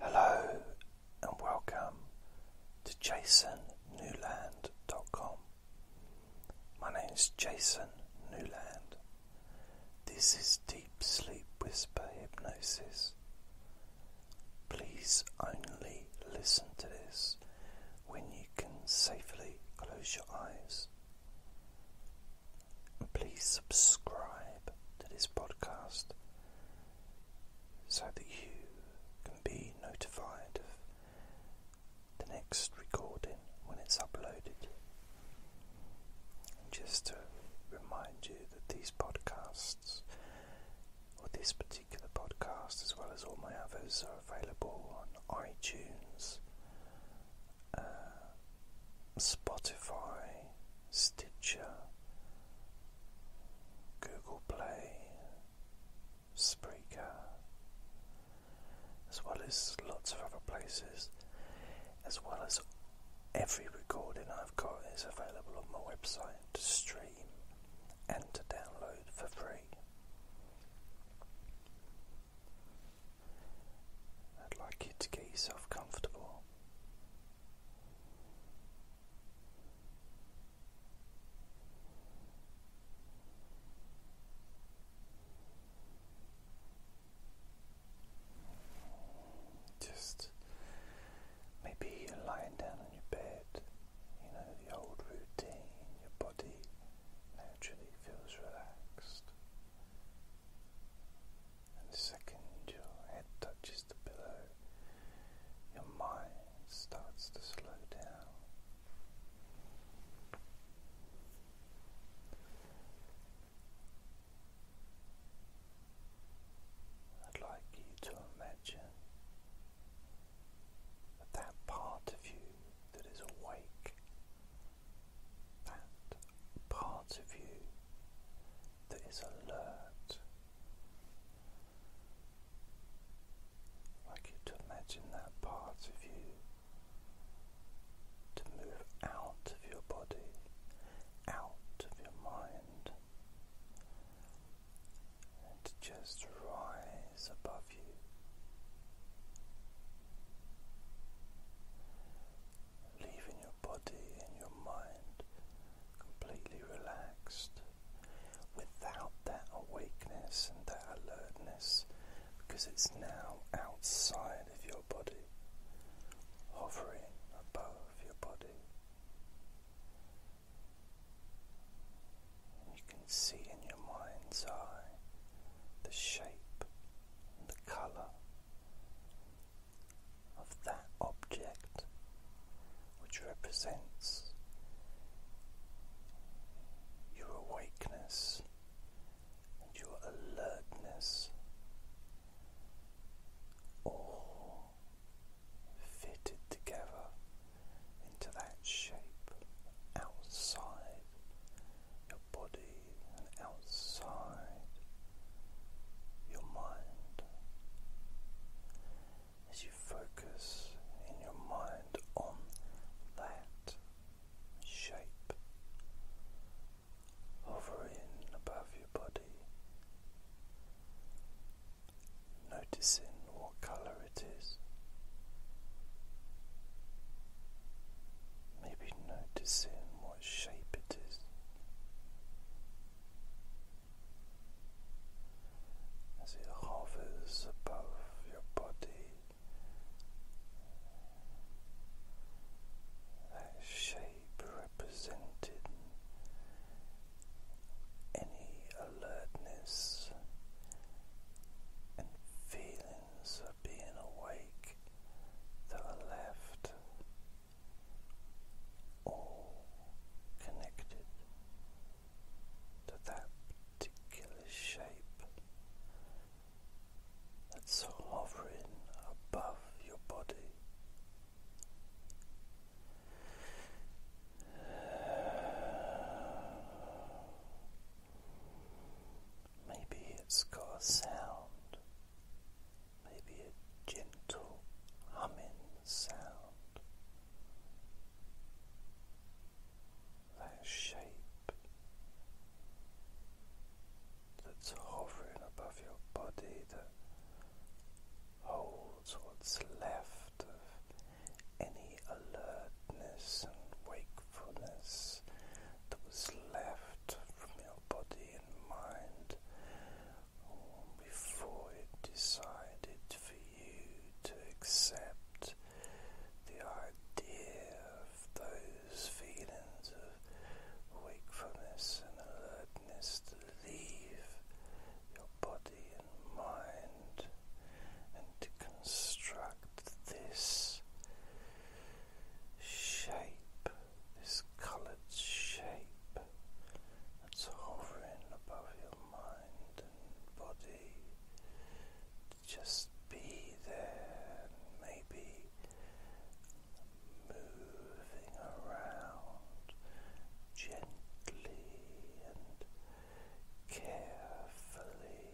Hello and welcome to jasonnewland.com. My name is Jason Newland. This is Deep Sleep Whisper Hypnosis. Please only listen to this when you can safely close your eyes. And please subscribe to this podcast so that you can be notified of the next recording when it's uploaded. just to remind you that these podcasts, or this particular podcast, as well as all my others, are available on iTunes. Uh, Spotify, Stitcher, Google Play, Spreaker, as well as lots of other places, as well as every recording I've got is available on my website to stream and to download for free. I'd like you to get yourself comfortable. Just maybe lying down on your bed, you know, the old routine, your body naturally feels relaxed and the second your head touches the pillow, your mind starts to slow down. I'd like you to imagine that part of you that is awake, that part of you that is alert. Like you to imagine that part of you to move out of your body, out of your mind, and to just rise above you leaving your body and your mind completely relaxed without that awakeness and that alertness because it's now outside of your body, hovering above your body. You can see in your mind's eye the shape and the colour of that object which represents your awakeness and your alertness all fitted together into that shape outside your body and outside your mind. As you focus in your mind on that shape hovering above your body, noticing what colour it is. Maybe noticing what shape it is. As it hovers above your body, that shape represented any alertness and feelings of being awake that are left, all connected to that particular shape that's hovering above your body. Maybe it's got a sound, maybe a gentle humming sound that shape that's hovering above your body that holds what's left of any alertness and wakefulness wakefulness that was left from your body and mind before it decided for you to accept the idea of those feelings of wakefulness and alertness to leave your body and mind and to construct this shape, this colored shape that's hovering above your mind and body. Just be there, maybe moving around gently and carefully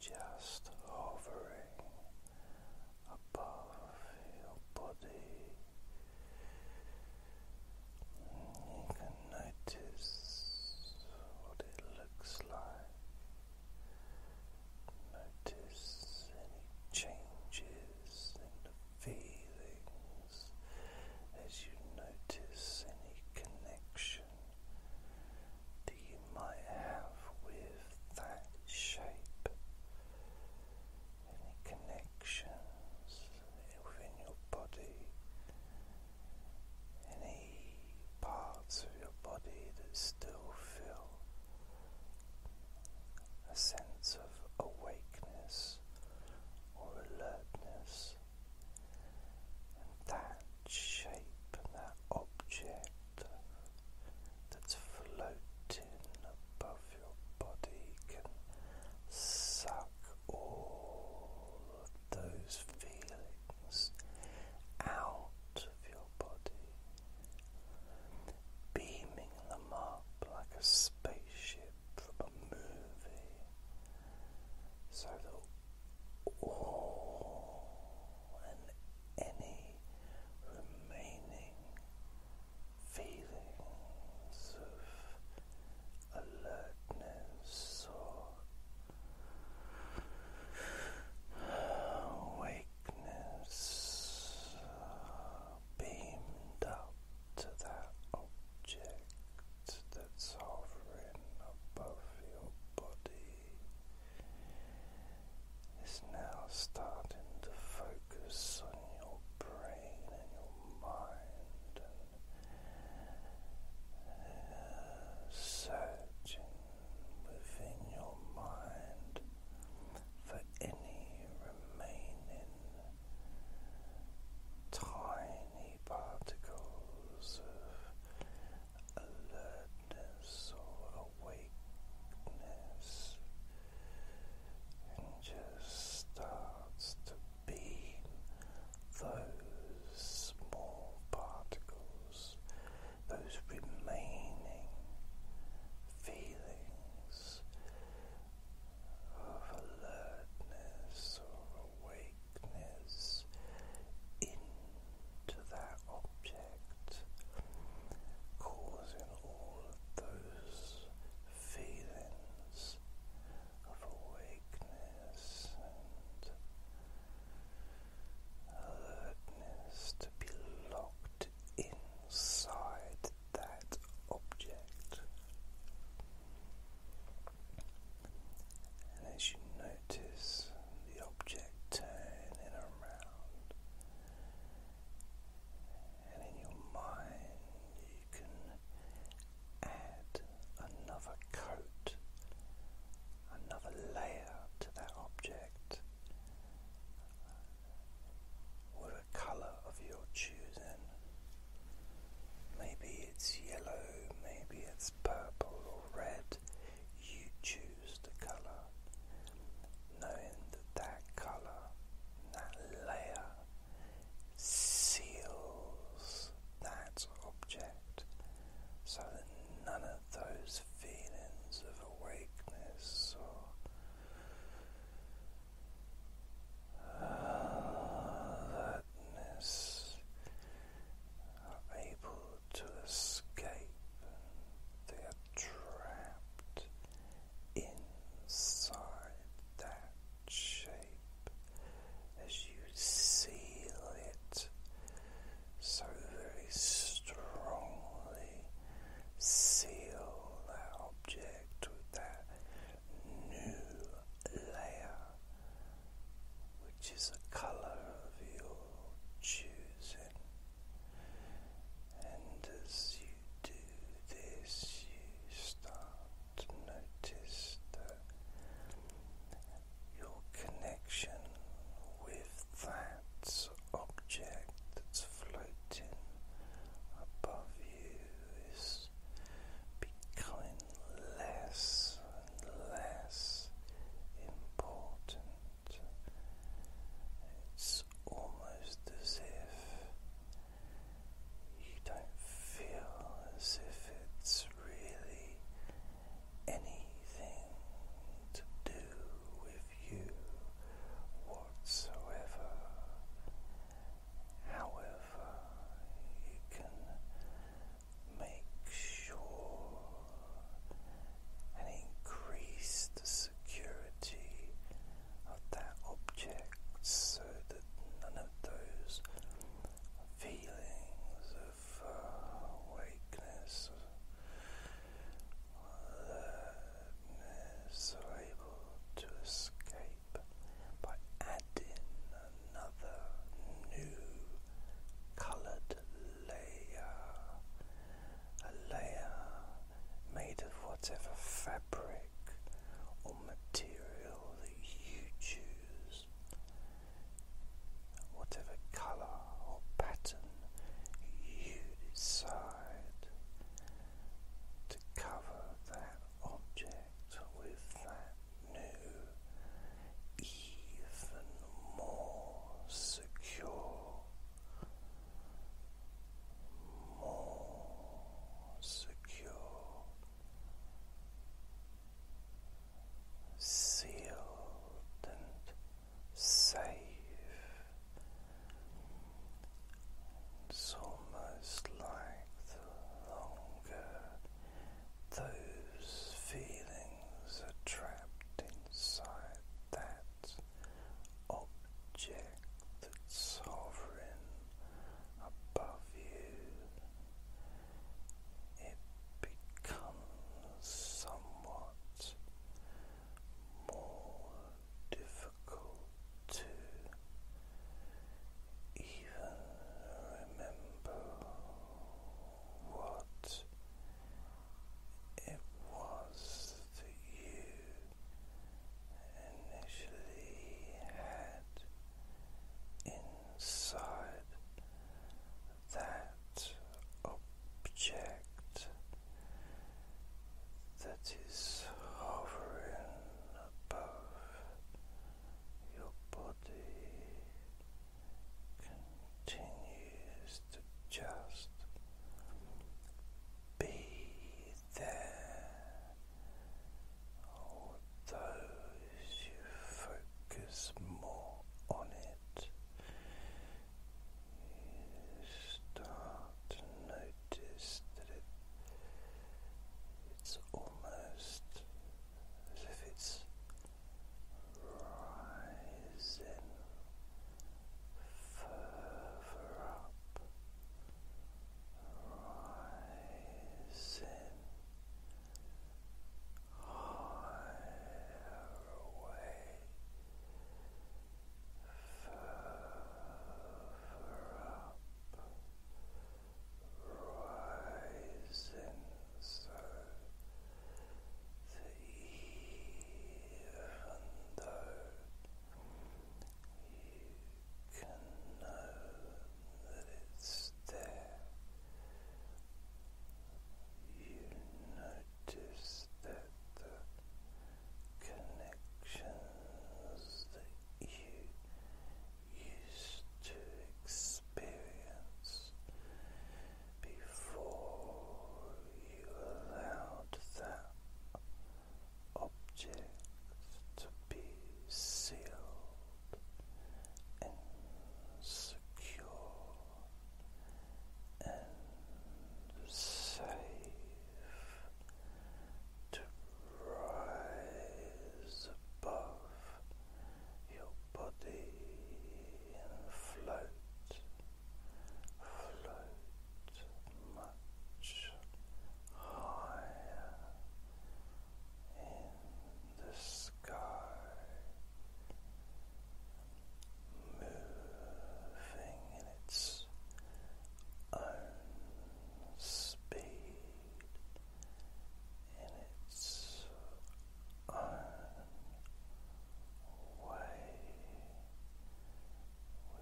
just hovering above your body. You can notice what it looks like. Notice any changes in the feelings as you notice any connection that you might have with that shape, any connections within your body, any parts of your body that still feel a sense of awakeness or alertness that shape and that object that's floating above your body can suck all those feelings out of your body, beaming them up like a spaceship from a movie so that all and any remaining feelings of alertness or awakeness beamed up to that object that's hovering above your body is now starting to focus on your brain and your mind and uh, searching within your mind for any remaining tiny particles of alertness or awakeness and just starts to beam those small particles, those remaining feelings of alertness or awakeness into that object, causing all those feelings of awakeness and alertness to be locked inside that object. And as you know notice the object turning around, and in your mind you can add another coat, another layer to that object with a colour of your choosing. Maybe it's yellow, maybe it's purple red, you choose the color, knowing that that color, that layer, seals that object so that none of those feelings of awakeness or uh, Alertness are able to escape they are trapped inside that shape as you seal it so very strongly seal that object with that new layer which is a color of your choosing, and as you do this, you start to notice that your connection with that object that's floating above you is becoming less and less important. It's almost as if you don't feel as if it's really anything to do with you whatsoever. However, you can make sure and increase security of that object so that none of those feelings of uh, weakness or alertness are able to escape by adding another new coloured layer, a layer made of whatever fabric or material that you choose, whatever colour or pattern you decide to cover that object with that new, even more secure, more secure sealed and safe. It's almost like longer those feelings are trapped inside that object that's sovereign above you. It becomes somewhat more difficult to even remember what it was that you initially had inside that object that is hovering above your body continues to just be there, although you focus more on it. You start to notice that it's almost as if it's rising further up, rising higher away, Further up, rising so that even though you can know that it's there, you notice that the connections that you used to experience before you allowed that object to be sealed and secure and safe to rise above your body and float, float much higher in the sky, moving in its own speed in its own way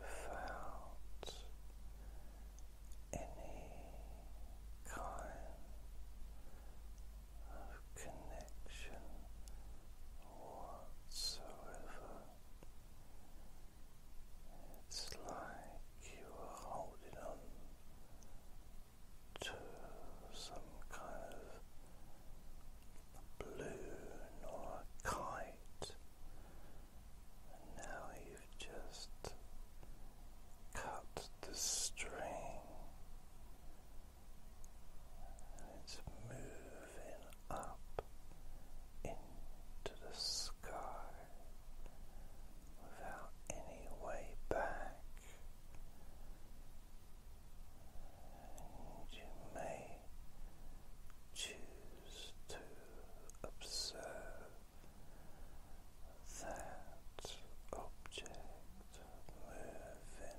without any kind of connection whatsoever it's like you are holding on to some kind of balloon or a kite, and now you've just cut the string, and it's moving up into the sky without any way back, and you may choose to observe that object moving further away.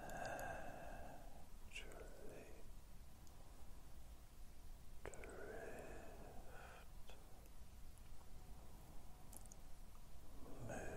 naturally drift moving forward moving back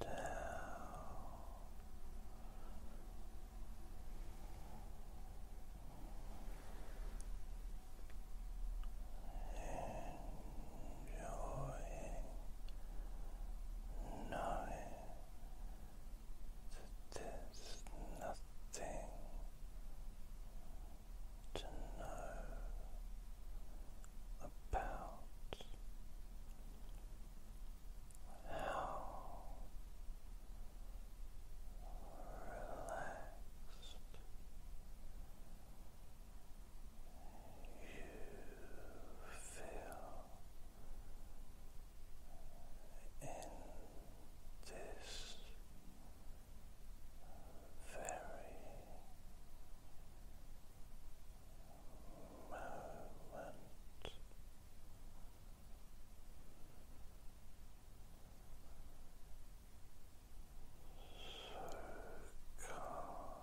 down enjoying knowing that there's nothing to know about how relaxed you feel in this very moment. So calm. So loose.